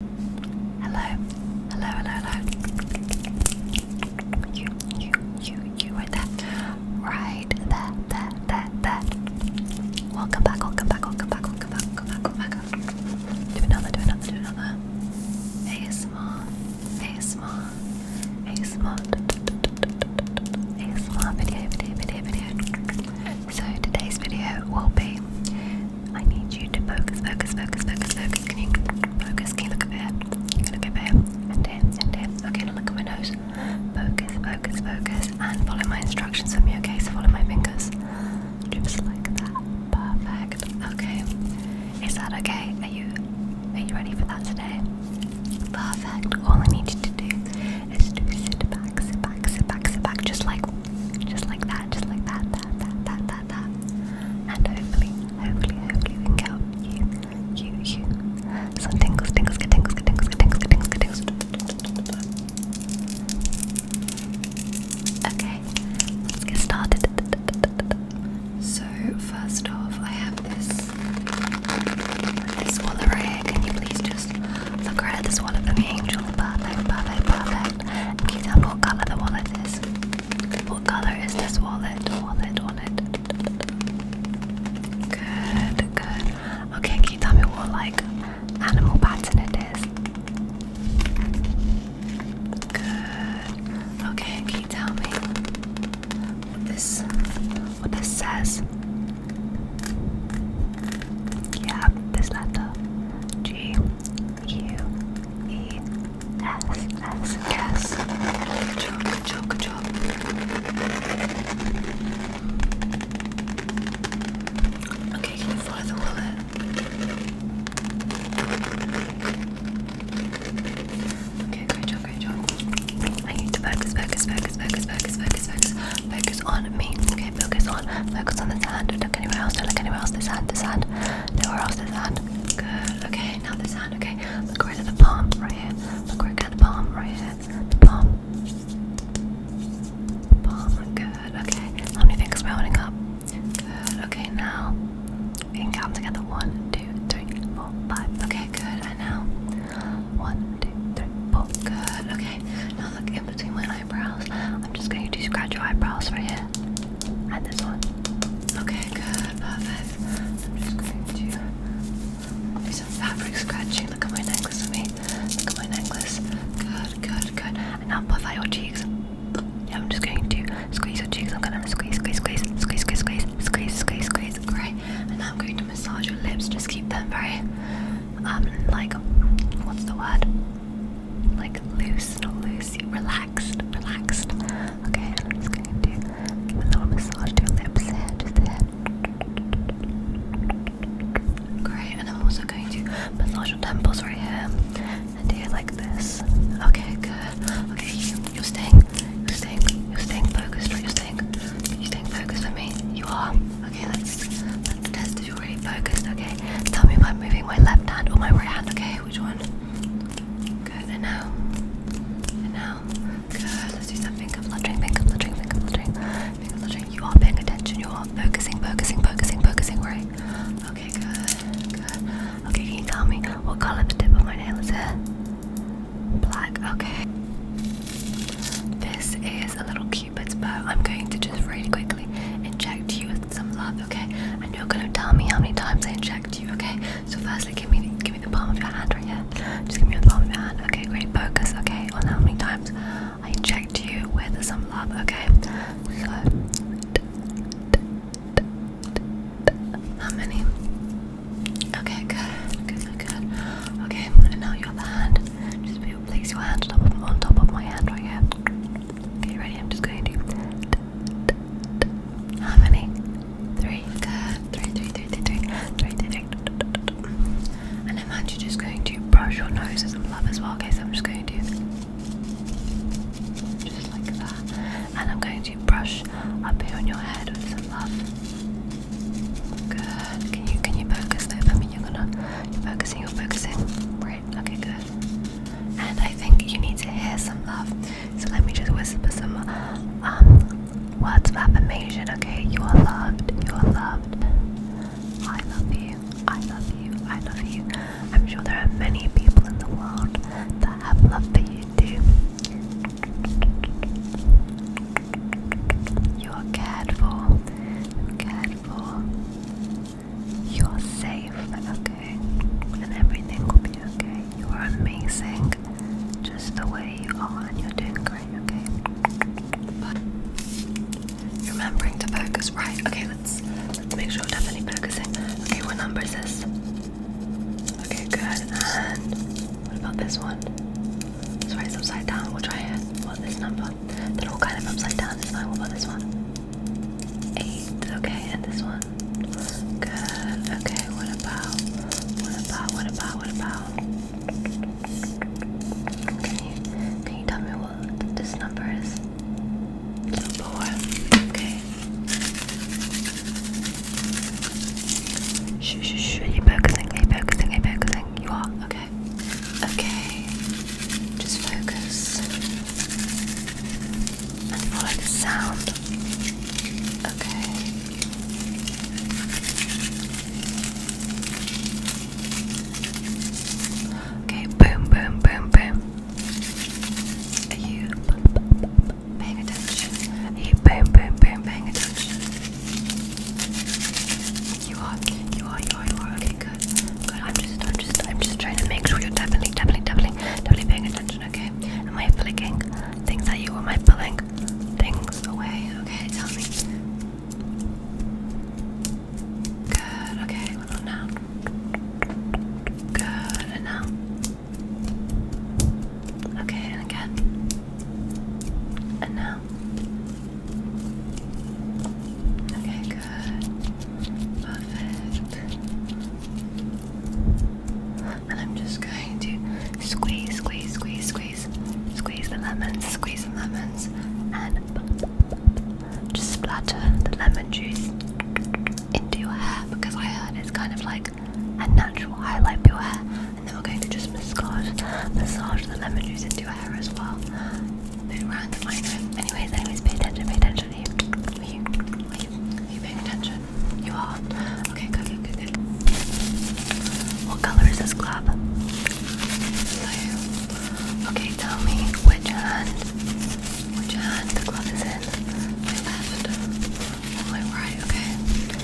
Hello, hello, hello, hello. You, you, you, you are that. Right, there, there, there, there. Welcome back, welcome back, welcome back, welcome back, welcome back, welcome back. Do another, do another, do another. ASMR, ASMR, ASMR, ASMR video, video, video, video. So today's video will be I need you to focus, focus, focus, focus, focus. Can you focus? Can you look over here? You can look over here and here and here. Okay, now look at my nose. Focus, focus, focus, and follow my instructions for me. Okay, so follow my fingers. Just like that. Perfect. Okay. Is that okay? Are you are you ready for that today? Perfect. All I need you to do is to sit back, sit back, sit back, sit back, just like just like that, just like that, that, that, that, that, that. And hopefully, hopefully, hopefully we can get you, you, you. Some tingles, tingles, get tingles, get tingles, get tingles, get tingles, get tingles. Okay, let's get started. So first off, I have this, this wallet here. Can you please just the credit is one of the angel. Perfect, perfect, perfect. Can you tell me what color the wallet is? What color is this wallet? Wallet, wallet. Good, good. Okay, can you tell me what like animal pattern it is? Good. Okay, can you tell me what this what this says? Yeah, this letter. G. U E S S S. Choke, choke, choke. Okay, can you follow the wallet? Okay, great job, great job. I need to focus, focus, focus, focus, focus, focus, focus, focus on me focus on, focus on this hand. Don't look anywhere else. Don't look anywhere else. This hand, this hand. where else. This hand. Good. Okay, now this hand. Okay, look right at the palm, right here. Look right at the palm, right here. The palm. palm. Good. Okay. How many fingers am I holding up? Good. Okay, now we can count together. One, two, three, four, five. Okay, good. And now one, two, three, four. Good. Okay. Now look in between my eyebrows. I'm just going to scratch your eyebrows right here. And this one. Okay, good, perfect. I'm just going to do some fabric scratching. Look at my necklace for Look at my necklace. Good, good, good. And now puff out your cheeks. Yeah, I'm just going to squeeze your cheeks. I'm gonna squeeze, squeeze, squeeze, squeeze, squeeze, squeeze, squeeze, squeeze. Great. And now I'm going to massage your lips. Just keep them very, um, like, what's the word? like loose, not loosey, relaxed, relaxed. Okay, I'm just going to give a little massage to your lips here, just there. Great, and I'm also going to massage your temples right here, and here like this. Okay, good. Okay, you, you're staying, you're staying, you're staying focused, right? You're staying, you're staying focused for me. You are. Okay, let's let's test you're really focused, okay? Tell me if I'm moving my left hand or my right hand, okay? Which one? Good, and now. And now. Good. Let's do some finger fluttering, finger fluttering, finger fluttering, finger fluttering. You are paying attention, you are focusing, focusing, focusing, focusing, right? Okay, good, good. Okay, can you tell me what colour the tip of my nail is Black, okay. This is a little cute. Cupid's uh, I'm going to just really quickly inject you with some love, okay? And you're gonna tell me how many times I inject you, okay? So firstly, give me the, give me the palm of your hand right here. Just give me the palm of your hand, okay? Great. Focus, okay, on how many times I inject you with some love, okay? So, how many? Okay, good, good, good. Okay, and now your hand. Just video, place your hand on top of my hand right here. Okay, ready? I'm just going to. How many? Three. Good. Three, three, three, three, three, three, three, three. And I'm actually just going to brush your nose as a love as well. Okay, so I'm just going to just like that, and I'm going to brush up here on your head with some love. Good. Can you can you focus there for me? you're gonna, you're focusing, you're focusing, right? Okay, good. And I think you need to hear some love. So let me just whisper some um, words of affirmation, okay? You are loved, you are loved. I love you, I love you, I love you. I'm sure there are many people in the world that have love for you too. You are cared for. Cared for. You are safe, okay? And everything will be okay. You are amazing just the way you are, and you're doing great, okay? But remembering to focus, right? Okay, let's let's make sure we're definitely focusing. Okay, what number is this? Okay, good. And what about this one? Sorry, it's upside down. We'll try it. What this number? one. they all kind of upside down, isn't What about this one? Eight. Okay, and this one. Good. Okay, what about? What about? What about? What about? Can can you tell me what this number is? four. Okay. Shh, shh, shh. Are you focusing? you Are focusing? You are. Okay. Okay. Just focus. And follow the sound. Okay. Okay, boom, boom, boom, boom. Are you paying attention? Are boom, boom, boom, paying attention? You are, you are, you are, you are. Okay, good, good. I'm just, I'm just, I'm just trying to make sure you're definitely, definitely, definitely, definitely paying attention. Okay? Am I flicking things at you? Am I pulling things away? Okay, tell me. Good. Okay, Good. And now. Okay, and again. And now. Okay, good. Perfect. And I'm just going to squeeze, squeeze, squeeze, squeeze, squeeze the lemons, squeeze the lemons, and just splatter the lemon juice into your hair because I heard it's kind of like a natural highlight for your hair and then we're going to just massage, massage the lemon juice into your hair as well. Move around the know. Anyways, anyways, pay attention, pay attention. Are you, are you, are you, are you paying attention? You are. Okay, good, good, good, good. What color is this glove? Blue. Okay, tell me which hand, which hand the glove is in. My left or my right? Okay.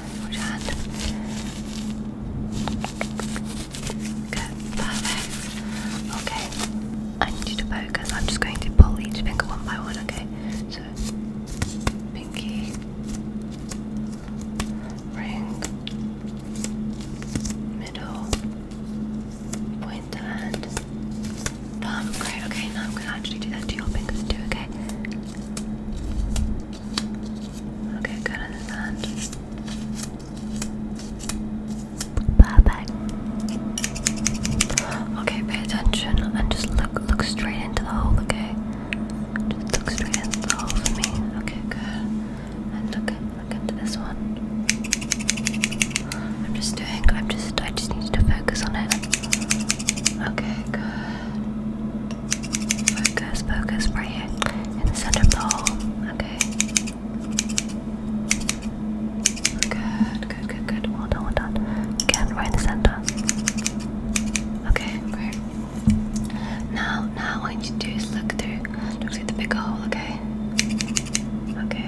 hand. perfect. Okay, I need you to focus. I'm just going to pull each finger one by one, okay? So, pinky, ring, middle, pointer, and thumb. Great, okay, now I'm going to actually do that to your fingers too, okay? Okay, good on this hand. Perfect. Okay, pay attention and just look look straight into the hole, okay? Just look straight into the hole for me. Okay, good. look look into this one. I'm just doing I'm just I just need to focus on it. Okay, good. Focus, focus, right here in the center of hole. Okay. Good, good, good, good. Well done, well done. Again, right in the center. Okay, great. Now, now what you do is look through, look through the big hole. Okay. Okay.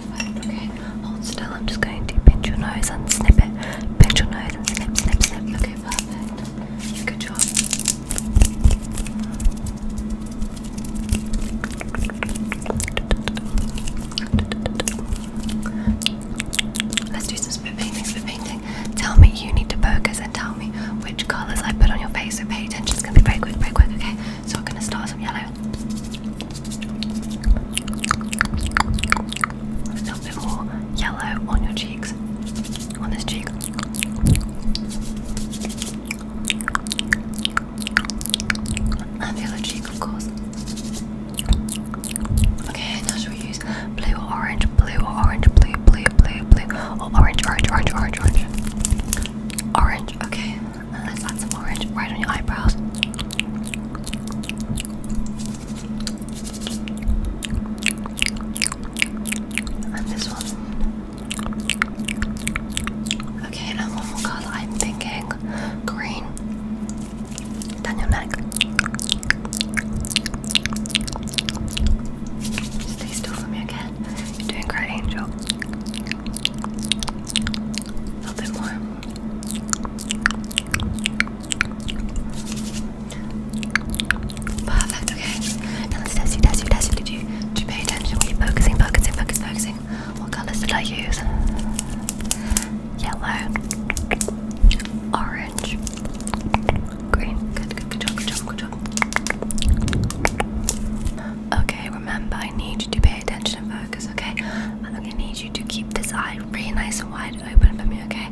Perfect. Okay. Hold still. I'm just going to pinch your nose and snip it. Pinch your nose and snip, snip, snip. Okay. Perfect. Good job. Let's do some spit painting. Spit painting. Tell me you need to focus and tell me which colours I put on your face. So pay attention. It's gonna be very quick, very quick. Okay. So we're gonna start some yellow. A little bit more yellow on your cheeks. On this cheek. And the other cheek, of course. Okay, now shall we use blue or orange, blue or orange, blue, blue, blue, blue, or orange, orange, orange, orange, orange. Orange, okay. Let's add some orange right on your eyebrows. And this one. Okay, and one more colour I'm thinking green. Down your neck. Stay still for me again. You're doing great, Angel. A little bit more. Perfect, okay. Now let's test you, test you, test you. Did you, did you pay attention? Were you focusing, focusing, focusing, focusing? What colours did I use? Yellow, orange, green. Good, good, good job, good job, good job okay? Remember, I need you to pay attention and focus, okay? I'm gonna need you to keep this eye really nice and wide open for me, okay?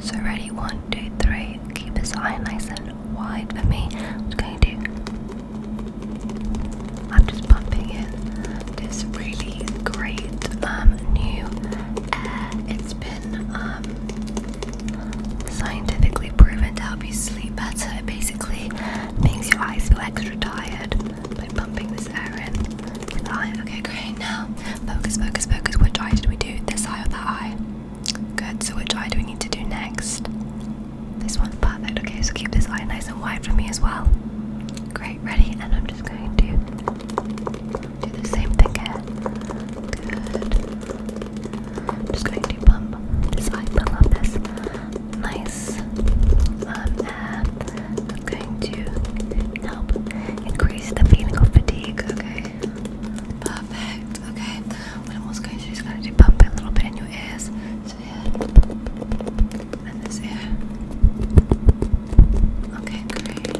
So, ready? One, two, three. Keep this eye nice and wide for me. I'm gonna do. I'm just pumping in this really great um, new air. It's been um, scientifically proven to help you sleep better. It basically makes your eyes feel extra tired by pumping this air in Okay, great. Now, focus, focus, focus. Which eye did we do? This eye or that eye? Good. So, which eye do we need to do next? This one. Perfect. Okay, so keep this eye nice and wide for me as well. Great. Ready? And I'm just going to do the same thing again. Good. just going to pump this eye, pump this nice um, and that's going to help increase the feeling fatigue, okay? Perfect, okay. What I'm also going to do is going to pump a little bit in your ears. So here, and this ear. Okay, great.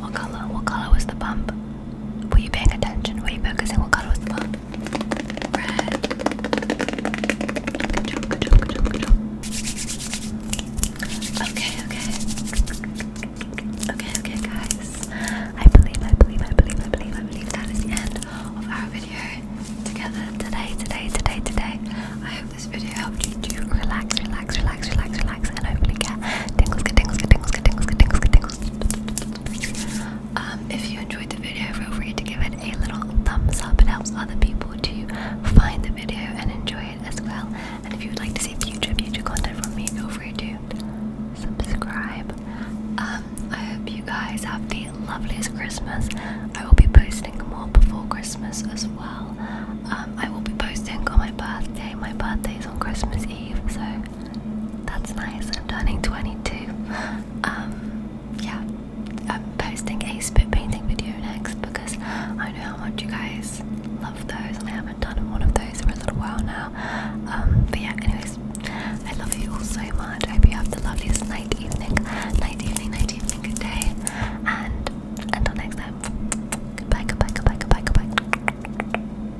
What color? What color was the pump? Were you paying attention? Were you focusing? What color was the pump? red. Okay, okay. Okay, okay, guys. I believe, I believe, I believe, I believe, I believe that is the end of our video together today, today, today, today. I hope this video helped you to relax, relax, relax, relax, relax, and hopefully get tingles, get tingles, get tingles, get tingles, get tingles, get tingles. Um, if you enjoyed the video, feel free to give it a little thumbs up. It helps other people to find the video and enjoy it as well. And if you would like to see future, future content from me, feel free to subscribe. Um, I hope you guys have the loveliest Christmas. I will be posting more before Christmas as well. Um, I will be posting on my birthday. My birthday is on Christmas Eve, so that's nice. I'm turning 22. Um, yeah, I'm posting a spit painting video next because I know how much you guys love those, and I haven't done one of those for a little while now. Um, but yeah, anyways, I love you all so much. I hope you have the loveliest night, evening, night, evening, night, evening, good day, and until next time. Goodbye, goodbye, goodbye, goodbye, goodbye.